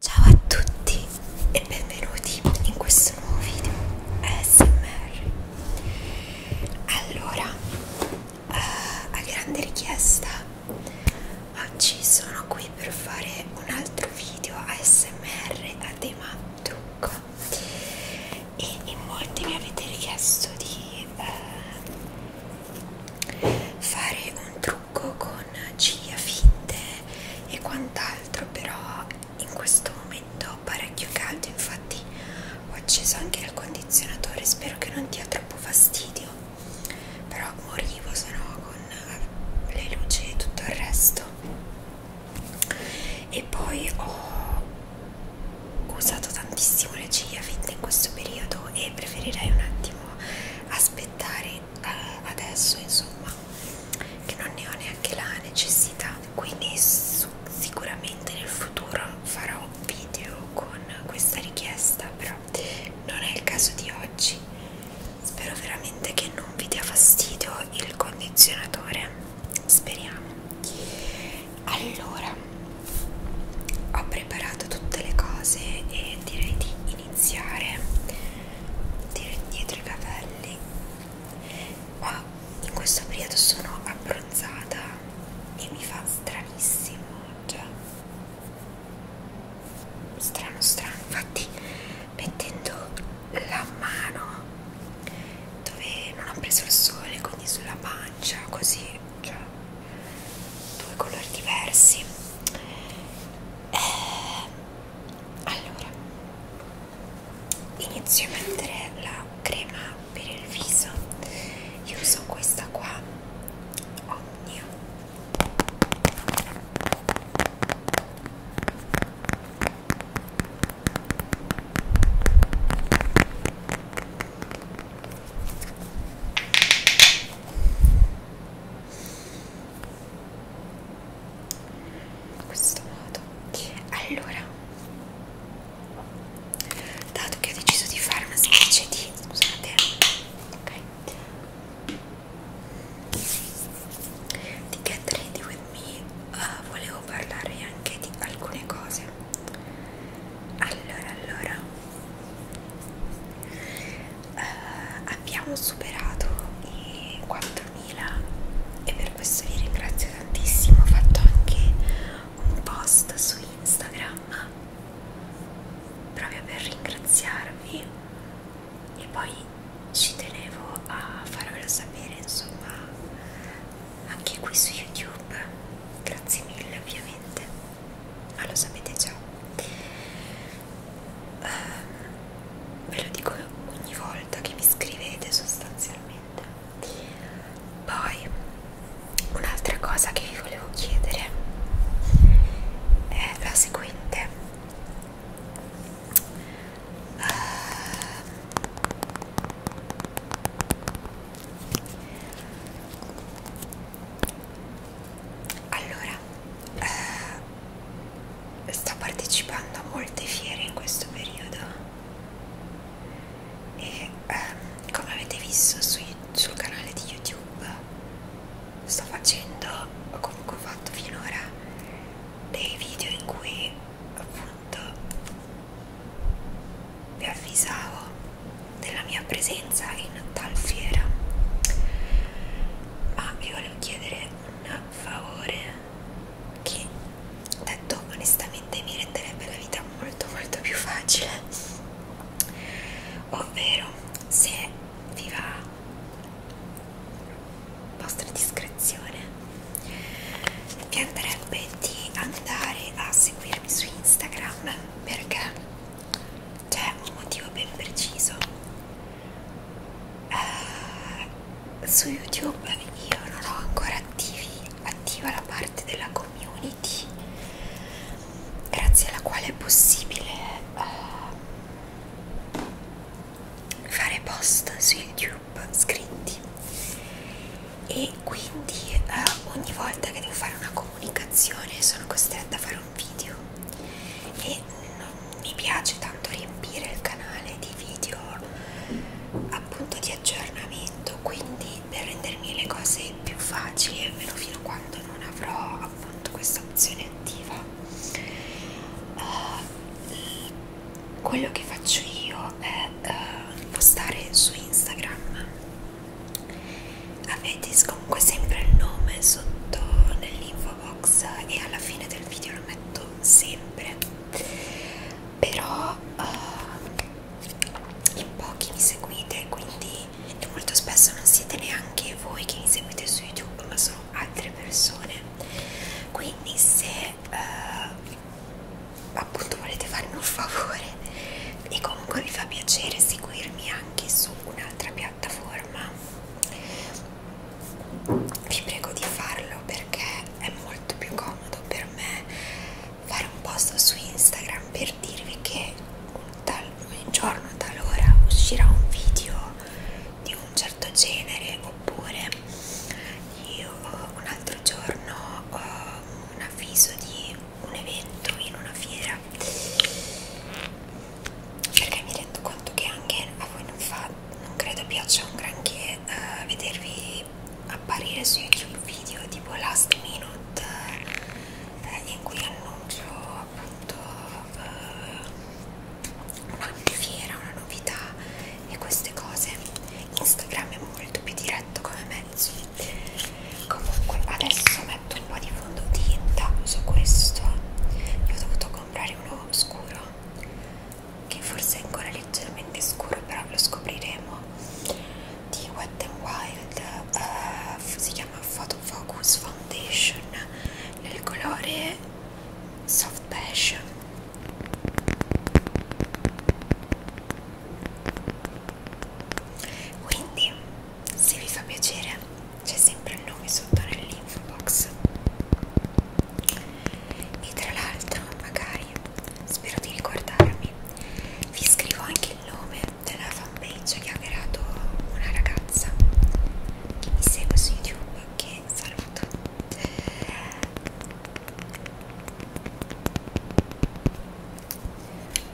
Ciao a tutti e benvenuti in questo nuovo video ASMR. Allora, uh, a grande richiesta, oggi sono qui per fare un altro video ASMR a tema trucco e in molti mi avete richiesto di uh, fare un trucco trucco con ciglia finte e quant'altro però in questo momento ho parecchio caldo infatti ho acceso anche il condizionatore spero che non dia troppo fastidio però morivo se no con le luci e tutto il resto e poi ho usato tantissimo le ciglia finte in questo periodo e preferirei un attimo aspettare eh, adesso insomma che non ne ho neanche la necessità quindi su, sicuramente nel futuro farò un video con questa richiesta però non è il caso di oggi spero veramente che non vi dia fastidio il condizionatore speriamo allora ho preparato tutte le cose e direi di iniziare tiro indietro i capelli qua in questo periodo sono abbronzata e mi fa stranissimo cioè strano strano infatti mettendo la mano dove non ho preso il sole quindi sulla pancia così cioè due colori diversi eh, allora inizio a mettere la crema per il viso io uso questa qua Omnio oh, in questo modo allora dato che ho deciso di fare una specie di scusate ok di get ready with me uh, volevo parlare anche di alcune cose allora allora Uh, abbiamo superato i 4.000 e per questo vi ringrazio tantissimo. Ho fatto anche un post su Instagram proprio per ringraziarvi e poi ci tenevo a farvelo sapere insomma anche qui su YouTube. Grazie mille ovviamente ma ah, lo sapete già eh, ve lo dico ogni volta che mi scrivete sostanzialmente poi un'altra cosa che vi volevo chiedere è la seguente eh, allora eh, sto partecipando a molte fiere in questo periodo e ehm, come avete visto su, sul canale di youtube sto facendo o comunque ho fatto finora dei video in cui appunto vi avvisavo della mia presenza in tal fiera ma ah, vi volevo chiedere un favore che detto onestamente mi renderebbe la vita molto molto più facile ovvero se vi va vostra discrezione vi andrebbe di andare a seguirmi su Instagram perché c'è un motivo ben preciso uh, su youtube io non ho ancora attivi, attiva la parte della community grazie alla quale è possibile uh, fare post su youtube scritti e quindi uh, ogni volta che devo fare una comunicazione sono costretta a fare un video e non mi piace tanto riempire il canale di video appunto di aggiornamento quindi per rendermi le cose più facili almeno fino a quando non avrò appunto questa opzione attiva uh, quello che faccio io è uh, postare su Instagram avete comunque sempre il nome sotto nell'info box e alla fine del video lo metto sempre però uh, in pochi mi seguite quindi e molto spesso non siete neanche voi che mi seguite su youtube ma sono altre persone quindi se uh, appunto volete farmi un favore e comunque vi fa piacere seguirmi anche su un'altra piattaforma piattaforma vi prego di farlo perché è molto più comodo per me fare un post su Instagram per dirvi che un, tal, un giorno talora uscirà un video di un certo genere oppure io un altro giorno ho un avviso di un evento in una fiera perché mi rendo conto che anche a voi non fa non credo piaccia un granché uh, vedervi apparire su youtube video tipo last minute uh, in cui annuncio appunto uh, una fiera una novità e queste cose instagram è molto più diretto come mezzo comunque adesso metto un po' di fondotinta su questo io ho dovuto comprare uno scuro che forse è ancora leggermente scuro però lo scopriremo di Wet n Wild uh, si chiama Photo Focus Foundation nel colore Soft Passion quindi se vi fa piacere c'è sempre il nome sotto nell'info box e tra l'altro magari spero di ricordarmi vi scrivo anche il nome della fanpage che ha creato una ragazza che mi segue su youtube che saluto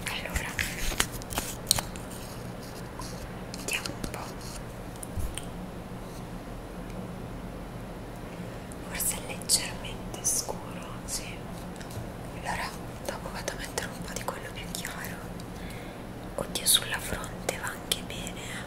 allora vediamo un po' forse è leggermente scuro sì. allora dopo vado a mettere un po' di quello più chiaro oddio sulla fronte va anche bene eh.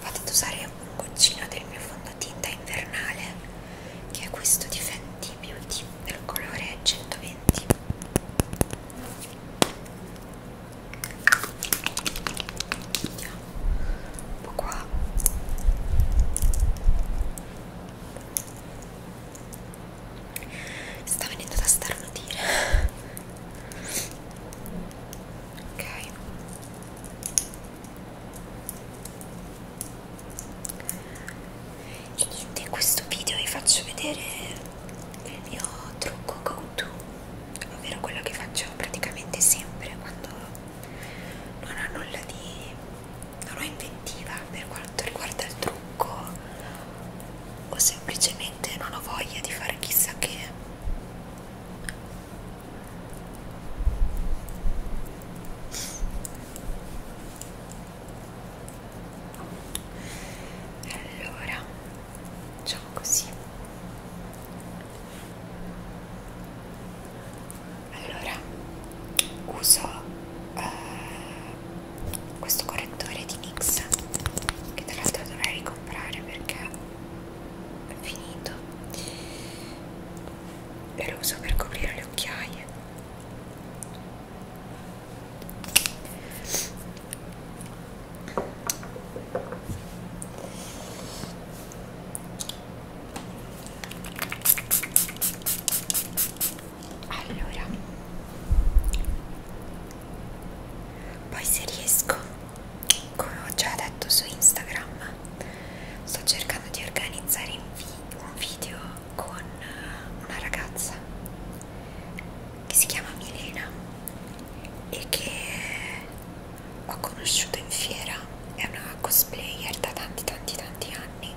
Vado ad usare un goccino del mio fondotinta invernale, che è questo di Fenty Beauty del colore 120. Andiamo un po' qua sta venendo da starnutire ok e niente in questo video vi faccio vedere il mio trucco go to ovvero quello che faccio praticamente sempre quando non ho nulla di non ho inventiva per quanto riguarda il trucco o semplicemente non ho voglia di fare chissà che allora facciamo così allora uso eh, questo correttore di NYX che tra l'altro dovrei ricomprare perché è finito e lo uso per coprire le occhiaie allora poi se riesco come ho già detto su Instagram sto cercando di organizzare un video con una ragazza che si chiama Milena e che ho conosciuto in fiera è una cosplayer da tanti tanti tanti anni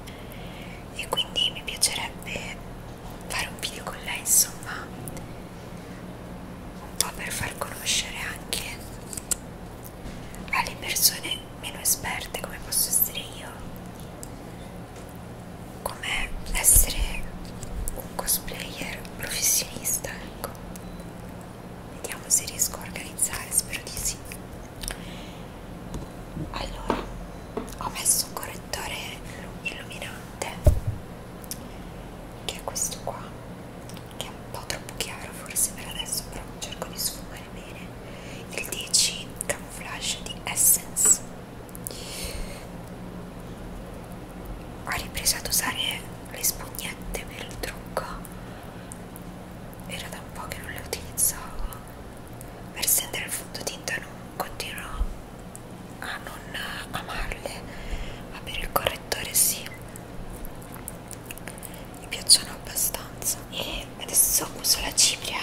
e quindi mi piacerebbe fare un video con lei insomma un po' per far conoscere anche alle persone meno esperte come posso essere io come essere un cosplayer professionista ecco vediamo se riesco a organizzare spero di sì allora ho messo un correttore illuminante che è questo qua che è un po' troppo chiaro forse per adesso però cerco di sfumare bene il 10 camouflage di Essence ho ripreso ad usare le spugnette per il trucco era da un po' che non le utilizzavo per stendere il fondotinta non continuo a non amarle ma per il correttore sì mi piacciono abbastanza e adesso uso la cipria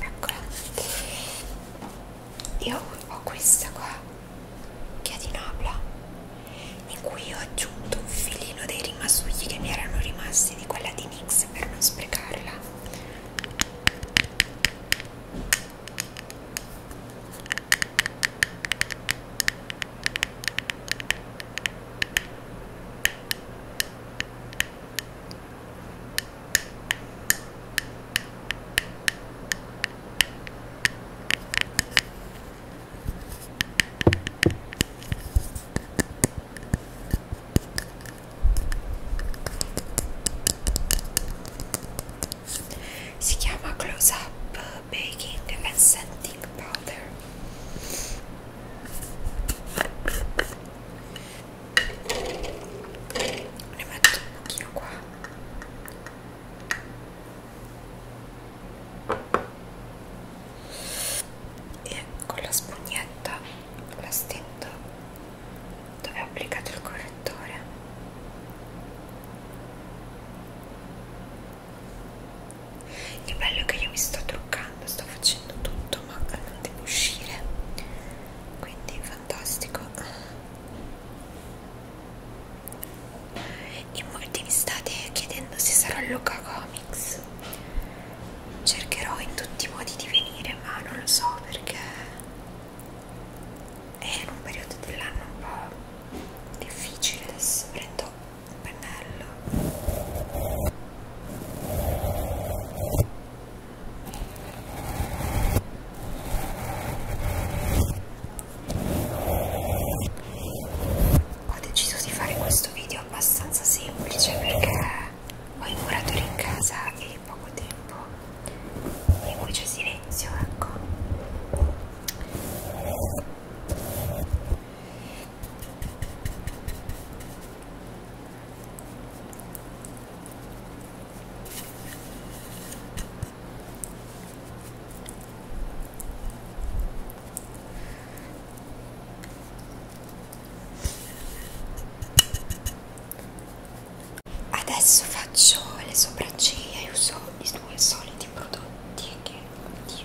eccola io ho questa qua che è di Napla in cui ho aggiunto un filino dei rimasugli che mi erano rimasti di quella di NYX per non sprecarla si chiama Close Up Baking and Scenting Powder ne metto un pochino qua e con la spugnetta la stendo dove ho applicato il correttore il bello è che io mi sto truccando sto facendo tutto ma non devo uscire quindi fantastico in molti mi state chiedendo se sarò a Luca Comics. Cercherò in tutti i modi di venire, ma non lo so perché è in un periodo dell'anno un po' difficile. Adesso prendo un pennello ho deciso di fare questo video abbastanza semplice perché ho i muratori in casa e poco tempo e poi c'è silenzio ecco Adesso faccio le sopracciglia e uso i due soliti prodotti che oddio.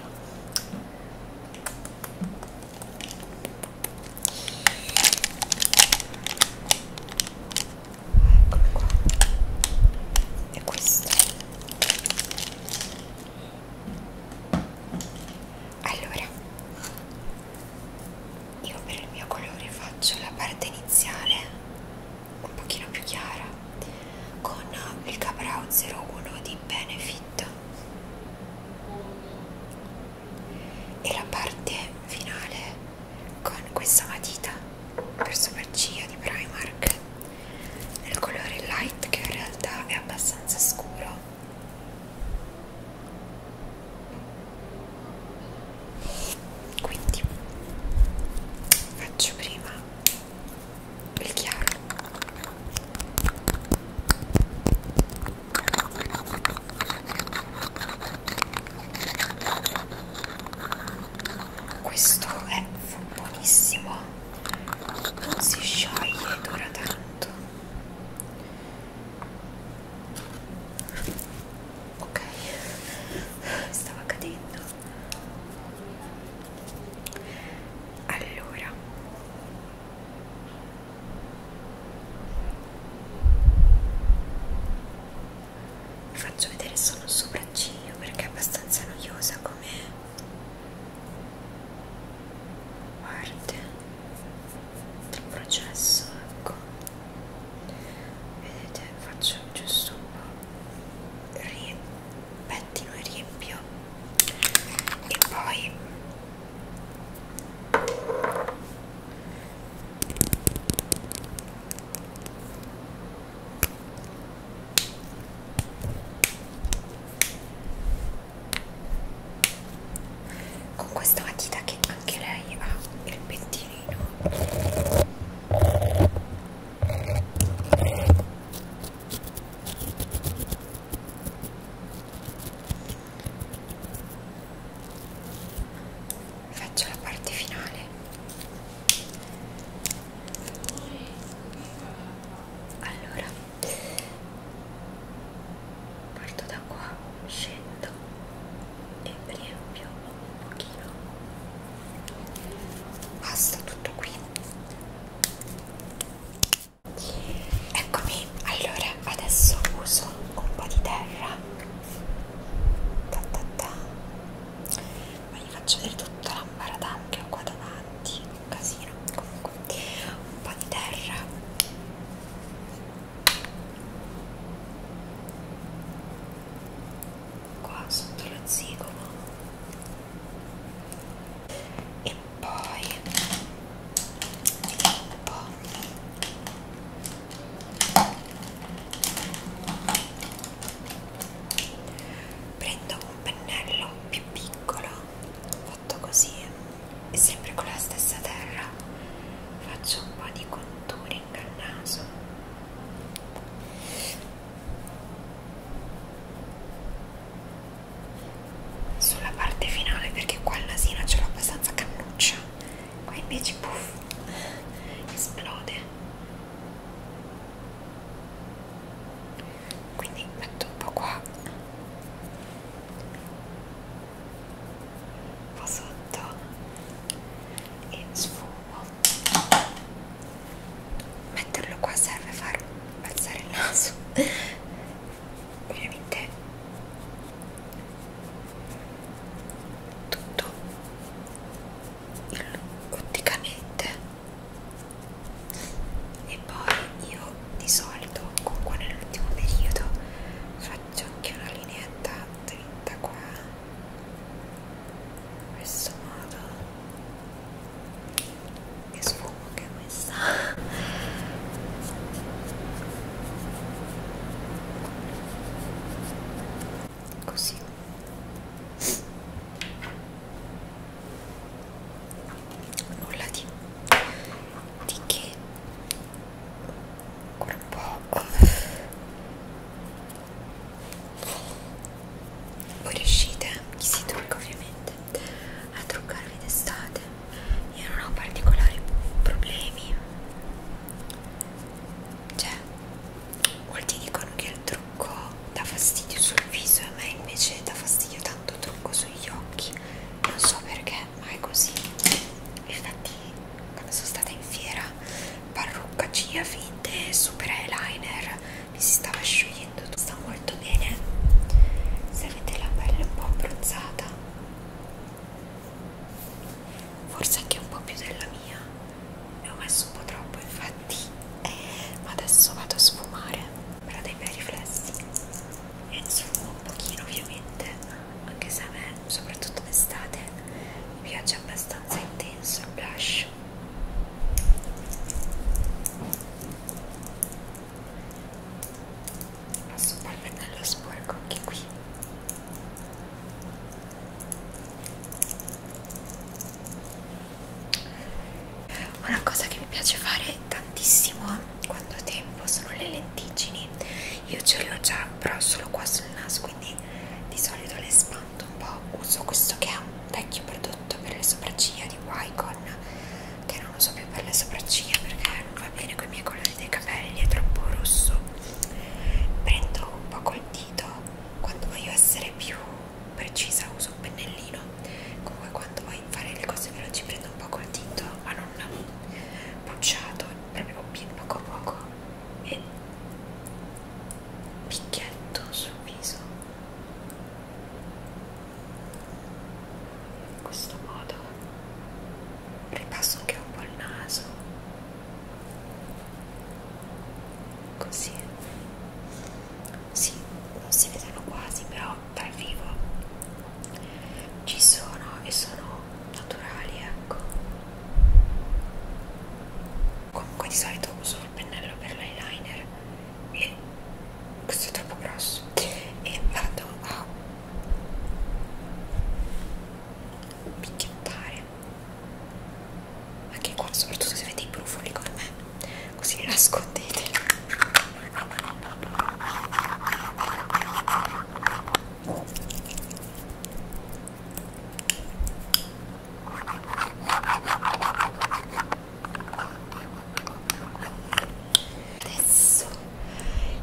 Eccolo qua. E questo allora io per il mio colore faccio la parte iniziale un pochino più chiara con il Caprao 01 di Benefit e la parte finale con questa matita per sopracciglia di Primark nel colore light che in realtà è abbastanza scuro quindi faccio prima il chiaro questo è buonissimo non si scioglie dura tanto ok stava cadendo allora vi faccio vedere solo il sopracciglio perché è abbastanza noiosa come parte del processo ecco vedete faccio giusto un po' pettino e riempio e poi con questa matita che anche lei ha il pettinino faccio la parte finale allora parto da qua scendo e riempio un pochino basta tutto qui eccomi allora adesso uso un po' di terra ta ta ta ma vi faccio vedere tutta l'ambaradam che ho qua davanti un casino comunque un po' di terra qua sotto lo zigomo e poi vediamo un po' prendo un pennello più piccolo fatto così e sempre con la stessa terra faccio un po' di contouring al naso sulla parte finale perché qua il nasino ce l'ho abbastanza cannuccia qua invece puff esplode quindi metto un po' qua un po' sotto e sfumo metterlo qua serve far alzare il naso ovviamente tutto il, otticamente e poi io di solito comunque nell'ultimo periodo faccio anche una lineetta dritta qua in questo modo che sfumo che è questa così nulla di, di che ancora un po' voi riuscite chi si trucca ovviamente a truccarvi d'estate io non ho particolari problemi cioè molti dicono che il trucco dà fastidio sul viso e a me invece dà fastidio tanto trucco sugli occhi non so perché ma è così infatti quando sono stata in fiera parrucca ciglia finte super eyeliner mi si stava sciogliendo tutto sta molto bene se avete la pelle un po' abbronzata forse anche un po' più della mia ne ho messo un po' troppo infatti ma eh, adesso vado a sfumare per dei bei riflessi e sfumo un pochino ovviamente anche se a me soprattutto d'estate mi piace abbastanza intenso il blush passo un po' il pennello sporco anche qui una cosa che mi piace fare tantissimo quando ho tempo sono le lenticini. Io ce le ho già, però solo qua sul naso, quindi di solito le spanto un po'. Uso questo che è un vecchio prodotto per le sopracciglia di Wycon, che non uso più per le sopracciglia perché non va bene con i miei colori dei capelli, è troppo rosso. Prendo un po' col dito quando voglio essere più precisa uso un pennellino comunque quando voglio fare le cose veloci prendo un po' col dito ma non pucciato proprio poco a poco e picchietto sul viso in questo modo ripasso anche un po' il naso così sì, non si vedono quasi però dal vivo ci sono e sono naturali ecco comunque di solito uso il pennello per l'eyeliner e questo è troppo grosso e vado a picchiottare anche qua soprattutto se avete i brufoli come me così li nascondete adesso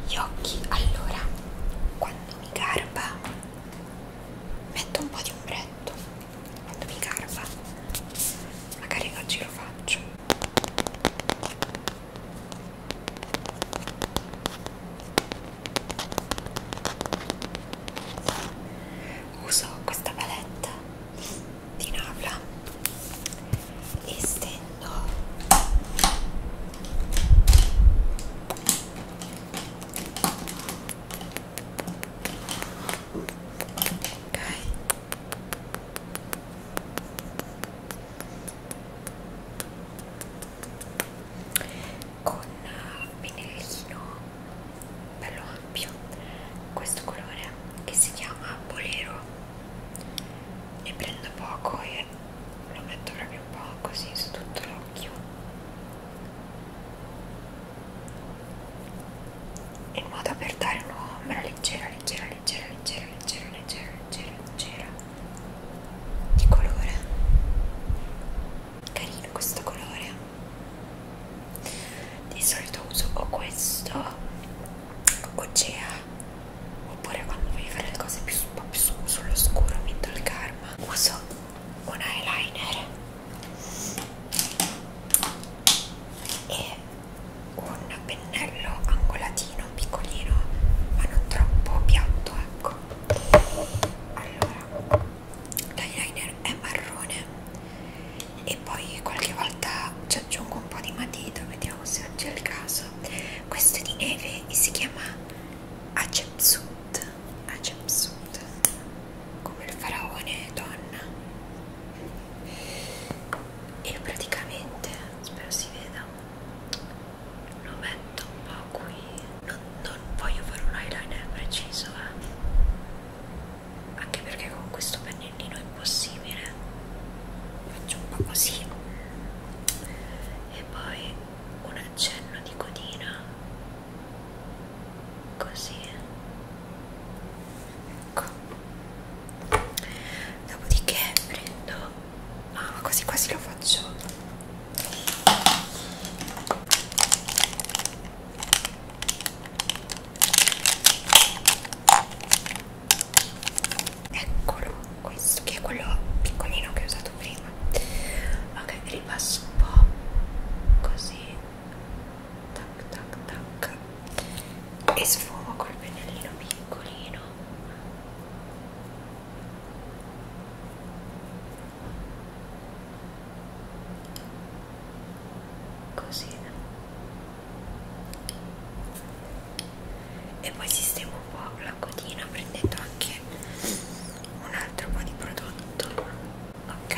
gli occhi allora quando mi garba metto un po' di ombretto quando mi garba magari oggi lo faccio uso questa paletta di Navla e stendo ok con pennellino bello ampio questo colore che si chiama bolero ne prendo poco e lo metto proprio un po' così su tutto l'occhio in modo per dare un'ombra leggera, leggera, leggera, leggera, leggera, leggera, leggera, leggera di colore carino questo colore di solito uso o questo o Gea oppure quando voglio fare le cose più, un po' più sullo scuro, Mindol Karma uso un eyeliner e un pennello angolatino piccolino ma non troppo piatto ecco allora l'eyeliner è marrone e poi qualche volta ci aggiungo un po' di matita vediamo se oggi è il caso questo è di neve e si chiama Acepsut a ah, jumpsuit come il faraone donna e praticamente spero si veda lo metto un po' qui non, non voglio fare un eyeliner preciso eh. anche perché con questo pennellino è impossibile faccio un po' così e poi una accenno di codina così ecco dopodiché prendo ah, ma quasi quasi lo faccio eccolo questo che è quello piccolino che ho usato prima ok ripasso un po' così tac tac tac e sfumo col pennellino piccolino così e poi sistemo un po' la codina prendendo anche un altro po' di prodotto ok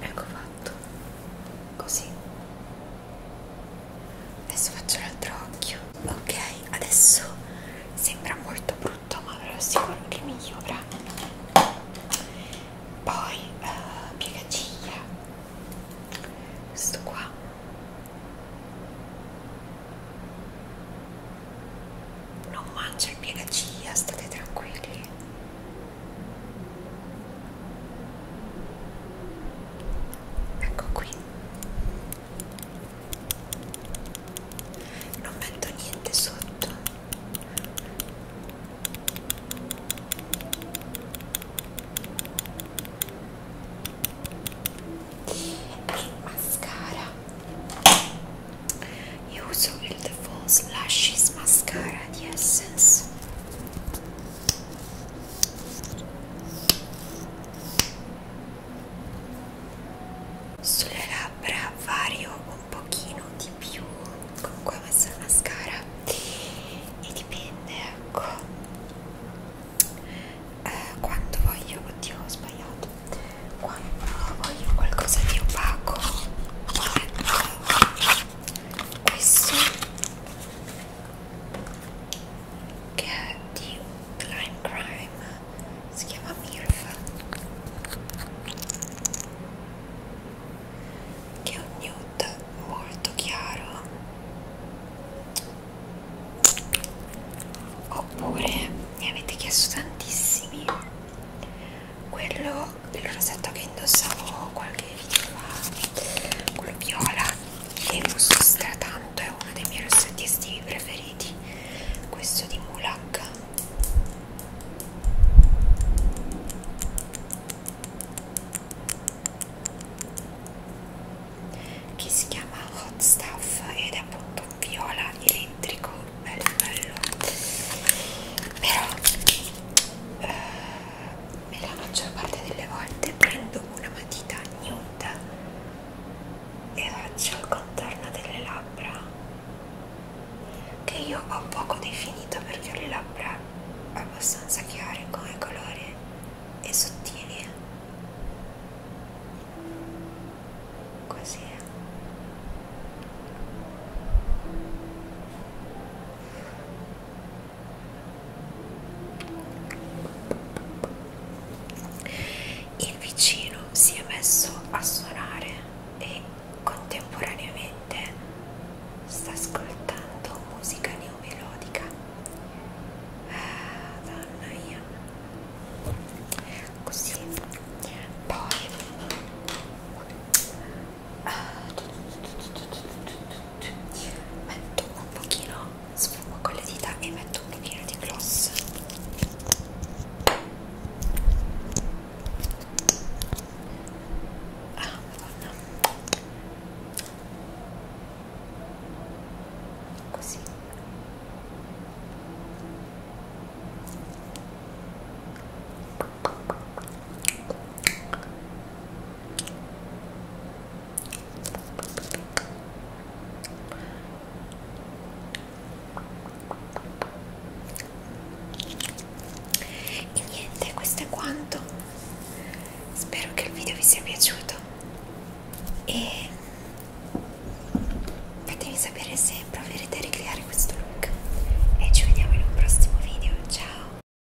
ecco fatto così adesso faccio l'altro occhio ok adesso sembra molto brutto ma ve lo assicuro che migliora poi uh, eh, piegaciglia questo qua non mangia il piegaciglia state tranquilli ecco qui non metto niente sotto e mascara io uso il The False Lashes Mascara di Essence sulle labbra vario un pochino di più, comunque ho messo la mascara e dipende, ecco, eh, quando voglio, oddio ho sbagliato, quando voglio qualcosa di opaco, questo che è di Lime Crime si chiama Mirfa che è un nude molto chiaro oppure mi avete chiesto tantissimi quello il rosetto che indossavo qualche video fa quello viola l'emus stratanto è uno dei miei rossetti estivi preferiti questo di Mulak che si chiama Hot Stuff ed è appunto un viola elettrico bello bello però eh, la maggior parte delle volte prendo una matita nude e raggi al contorno delle labbra che io ho poco definito perché ho le labbra abbastanza chiare come colore e sottili così il vicino si è messo a suonare e contemporaneamente sta ascoltando musica neomelodica. Ah, donna mia. Così. Poi metto un pochino sfumo con le dita e metto un pochino di gloss ah madonna così e niente questo è quanto spero che il video vi sia piaciuto e fatemi sapere se proverete a ricreare questo look e ci vediamo in un prossimo video ciao